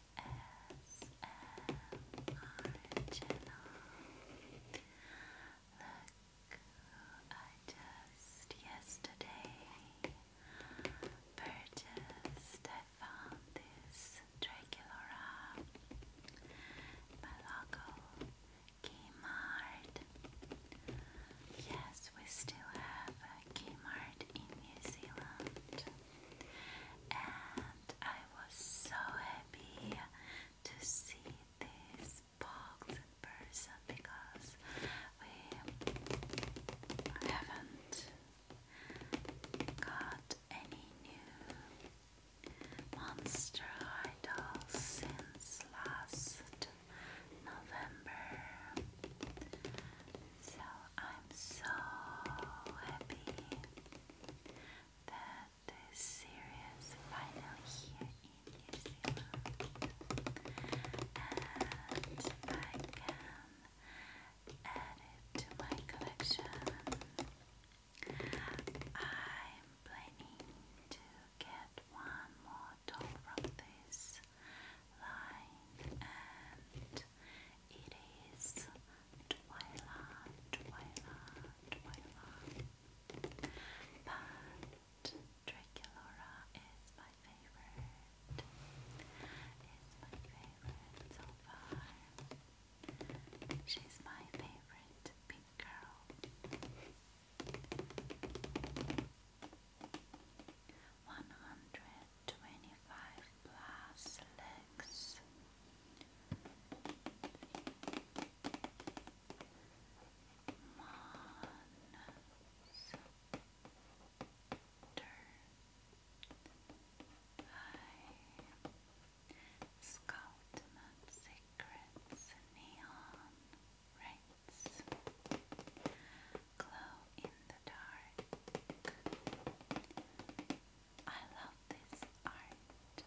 ASMR Look I just yesterday purchased. I found this Draculora by Local Kmart. Yes, we still have a Kmart in New Zealand. And I was so happy to see this box in person because we haven't got any new monster idols since last November. So I'm so happy that series final here in New Zealand, and I can add it to my collection. I'm planning to get one more doll from this line, and it is Twyla, Twyla, Twyla. But Draculora is my favorite. Is my favorite so far. She's my favorite pink girl. One hundred 25 plus legs. Sculptment secrets, neon rays glow in the dark. I love this art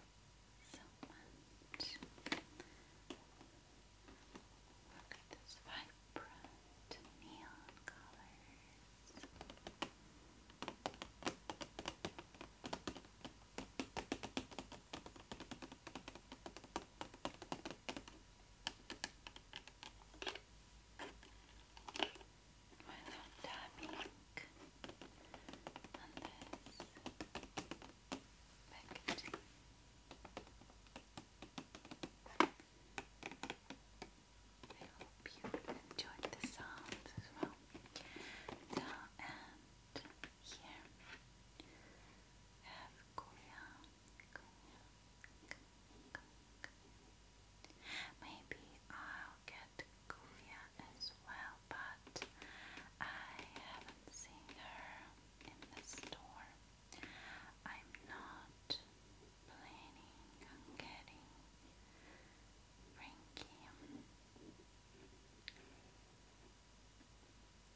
Look at this vibrant neon colors without tapping on this packaging. I hope you enjoyed the sounds as well. Now and here have Korea. Maybe I'll get Kulia as well, but I haven't seen her in the store. I'm not planning on getting Frankie.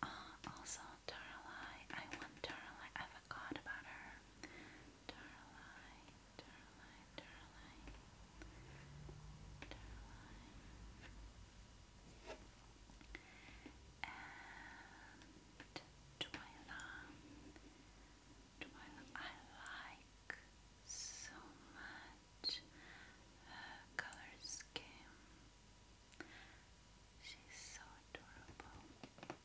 Uh, also, Darlai. I want Darlai. I forgot about her. Darlai. Caroline, Caroline, I like so much color scheme. She's so adorable.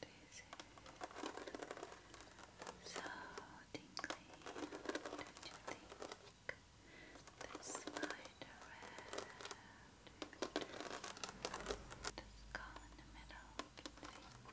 This is so tingly, don't you think? This slide around, the skull in the middle,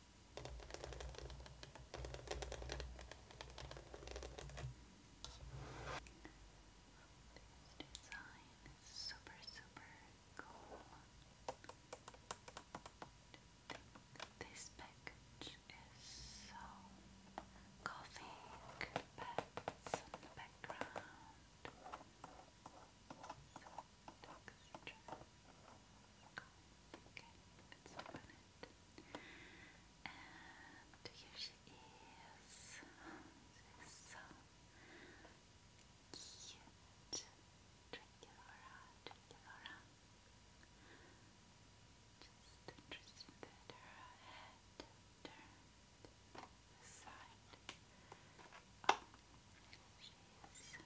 This design is super, super cool. I think this package is so gothic, pets in the background. So texture. Cool. Okay, let And here she is. so cute. Dracula, Dracula. Just interesting that her head turned the side. Oh, she is.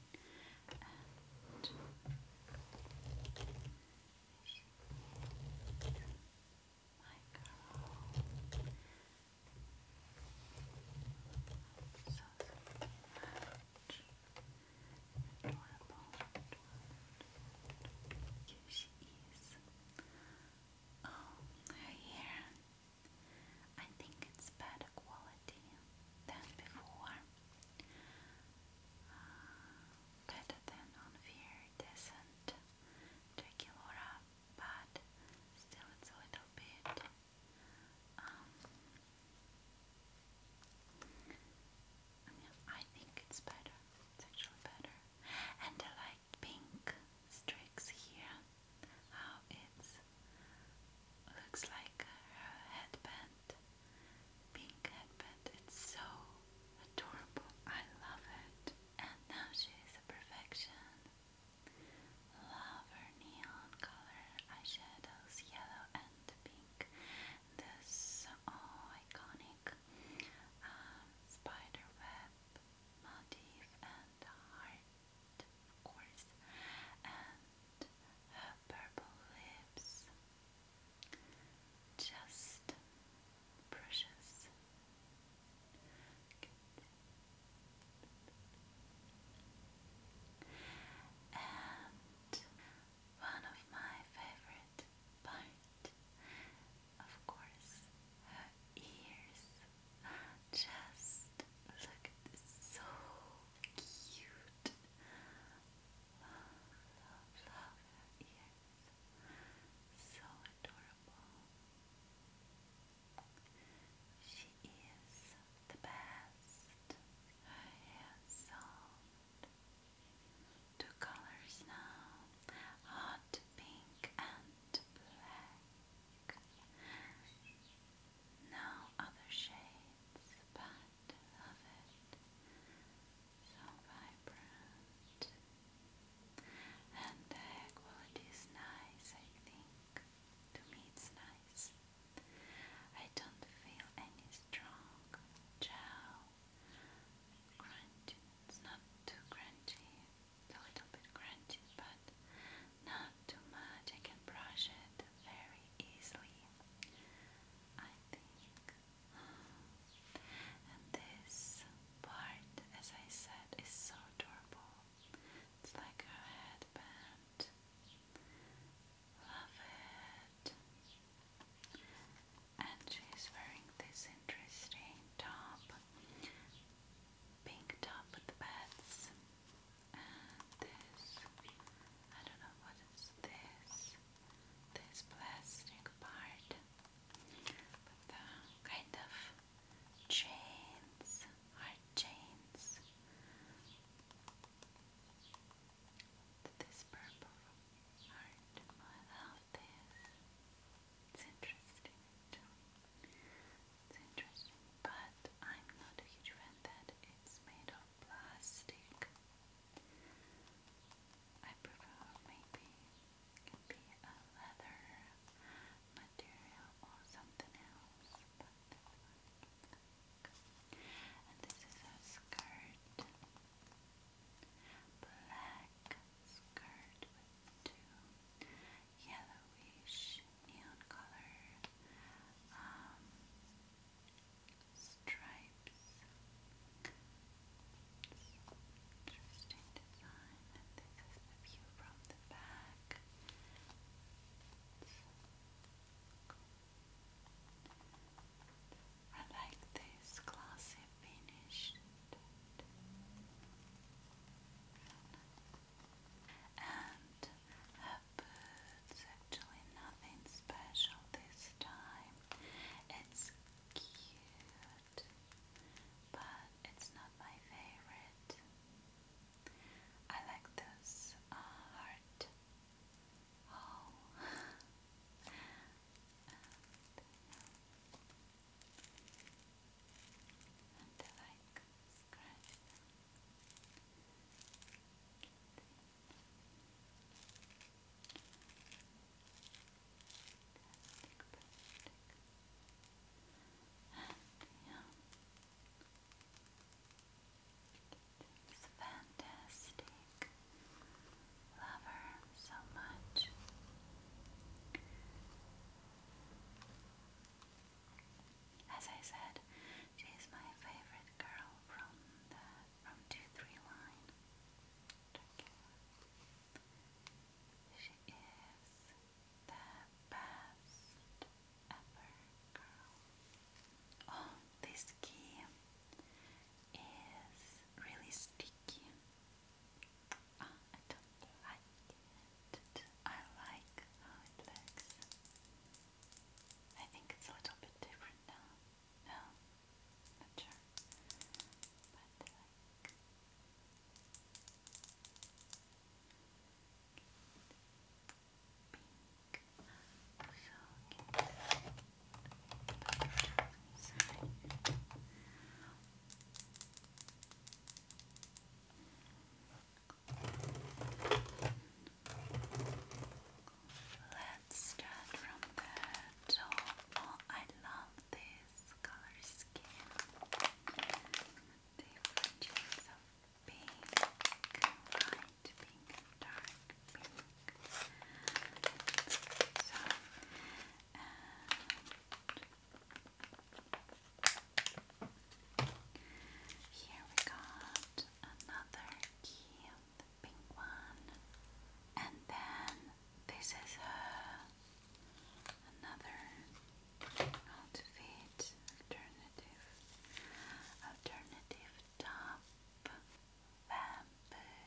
and my girl. So, much. Adorable, Here she is. Oh, her I think it's better quality than before better than on fear doesn't take but still it's a little bit um, I think it's better. It's actually better. And I like pink streaks here. How it looks like her headband pink headband. It's so adorable. I love it. And now she is a perfection. Love her neon color eyeshadows, yellow and pink. This oh iconic um, motif and heart, of course, and her purple lips. Just precious. And one of my favorite part, of course, her ears. Just look so cute. Love, love, love her ears. So adorable. She is the best. Her hair soft. Two colors now. Hot pink and black. No other shades, but it, love it, so vibrant. And the hair quality is nice, I think. To me, it's nice. I don't feel any strong gel crunchy. It's not too crunchy, a little bit crunchy, but not too much. I can brush it very easily. I think. And this part, as I said, is so adorable. It's like a headband. Love it. And she's wearing this interesting top. Pink top with bats and this, I don't know what is this, this plastic part, but the kind of chains, hard chains, this purple heart, I love this, it's interesting it's interesting, but I'm not a huge fan that it's made of plastic. I prefer maybe it can be a leather material or something else, but this is a skirt, black skirt with two yellowish neon color, um, stripes. Interesting design. And this is the view from the back. I like this glossy finish. And of boots. Actually, nothing special this time. It's cute, but it's not my favorite. I like this uh, heart. Oh. and, and I like scratch this fantastic lover so much. As I said, she is my favorite girl from the from two three line. She is the best ever girl. Oh, this key is really sticky. Oh, I don't like it. I like how it looks. I think it's a little bit different now. No, not But like uh, pink. So get the Let's start from the top. Oh, I love this color scheme. Different shades of pink, light pink, dark pink. and here we got another key, the pink one. And then this is her another outfit alternative alternative top bamboo.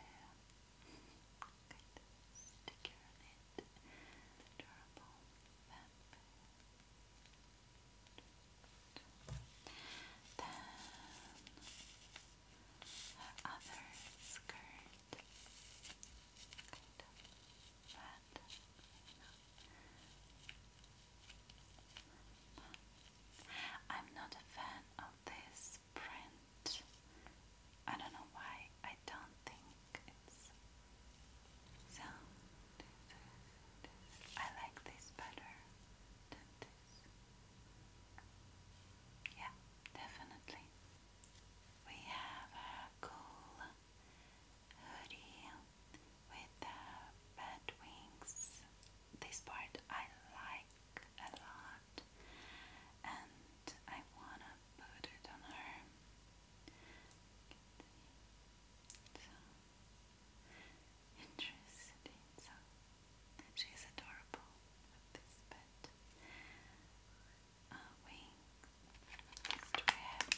Good sticker on it. Adorable bamboo. Then her other skirt, I'm not a fan of this print. I don't know why. I don't think it's so, this I like this better Yeah, definitely. We have a cool hoodie with the bat wings. This part I like a lot, and I wanna put it on her. So, Interesting. So she's adorable with this uh, Do I have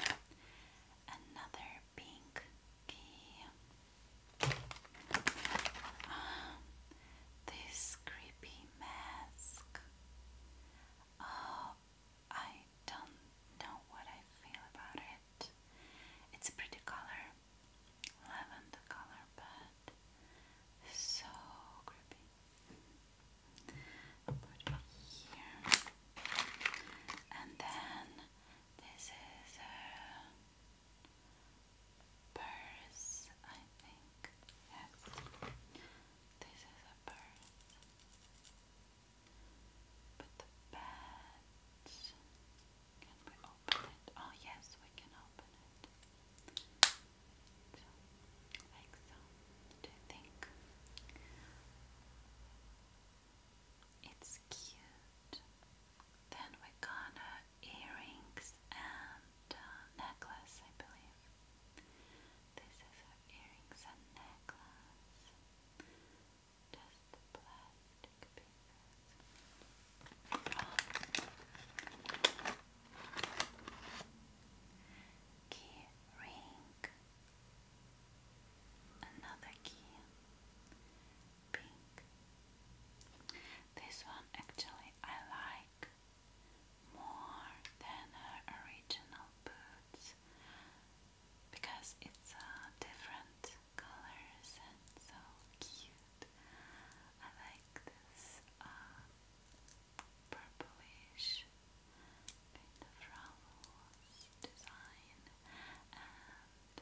here another pink key? Um, this creepy mask. Oh, I don't know what I feel about it. It's a pretty color, lavender color, but so creepy. I'll put it here. And then this is a purse, I think. Yes. This is a purse. But the bed, can we open it? Oh yes, we can open it. like so. Do you think it's cute? Then we got earrings and uh, necklace, I believe. This is her earrings and necklace. Just plastic papers. Key ring. Another key. Pink. This one actually I like more than her original boots because it's uh, different colors and so cute. I like this uh, purplish kind of ruffles design and um,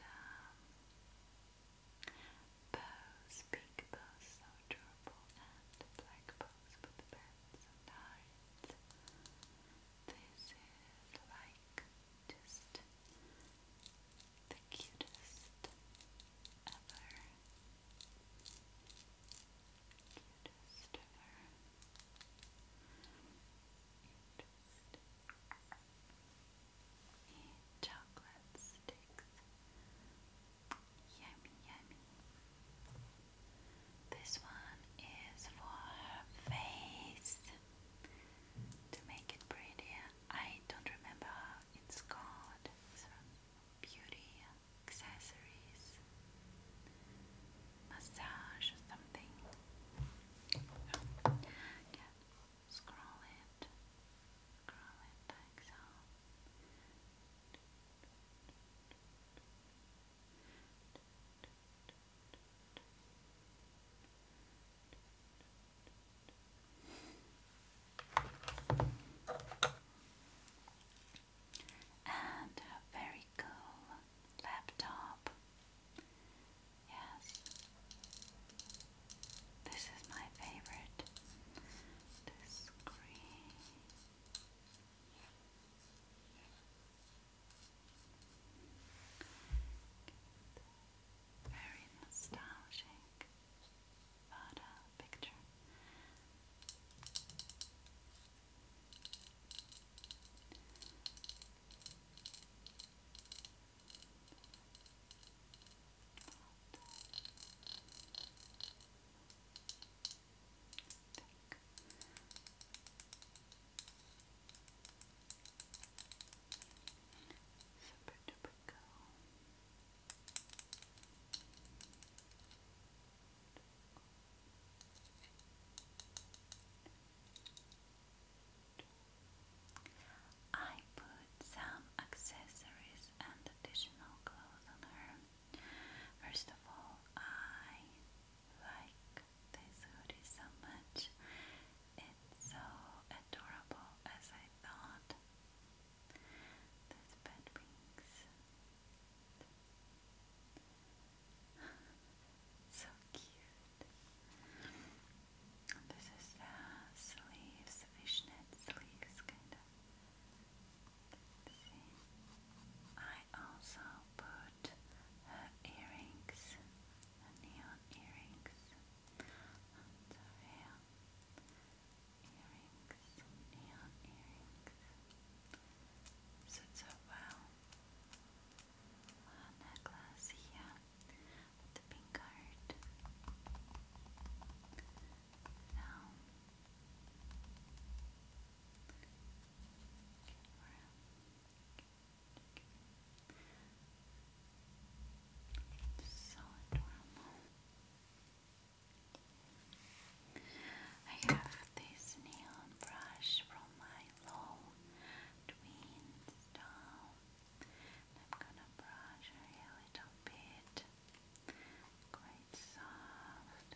bows, pink bows, so adorable, and black bows with bands and hearts. This is like just the cutest ever. Cutest ever. Interesting. Chocolate sticks. Yummy, yummy. This one is for her face to make it prettier. I don't remember it's called. Beauty Accessories Massage something. Oh. Scroll it. Scroll it like so. And a very cool laptop. Yes, this is my favorite. The screen. Good. Very nostalgic photo picture. Thick. Super I put some accessories and additional clothes on her. First of all, I like this hoodie so much. It's so adorable as I thought. This bed rings. so cute. This is the uh, sleeves, fishnet sleeves, kind See, I also put her earrings, the neon earrings, and the real earrings, neon earrings. So it's a well a necklace here the pink heart. So so adorable. I have this neon brush from my low twins doll. I'm gonna brush her a little bit. Quite soft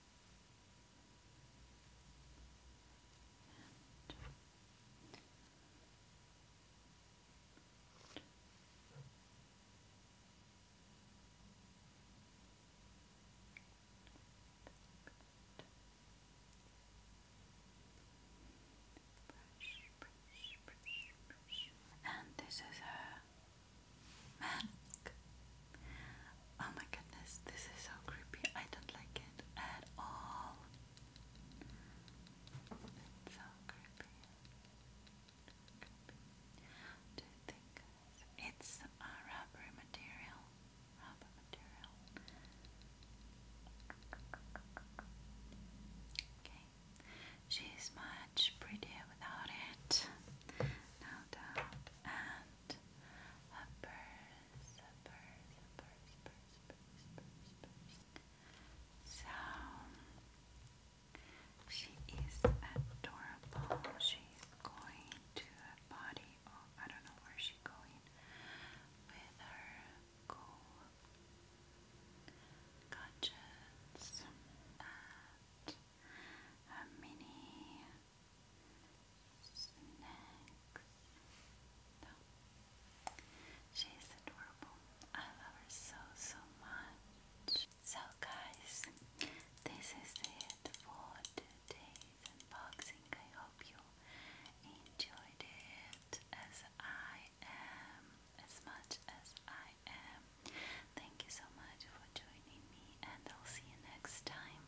And brush, this is a mask. Oh my goodness, this is so creepy. I don't like it at all. It's so creepy. creepy. think it's a rubber material? Rubber material. Okay. She's much prettier without it. No doubt. And front, uppers, uppers, uppers, uppers, uppers, uppers, uppers. So, she is adorable. She's going to a body, oh, I don't know where she's going with her cool conscience. a mini She's adorable. I love her so, so much. So guys, this is it for today's unboxing. I hope you enjoyed it as I am, as much as I am. Thank you so much for joining me and I'll see you next time.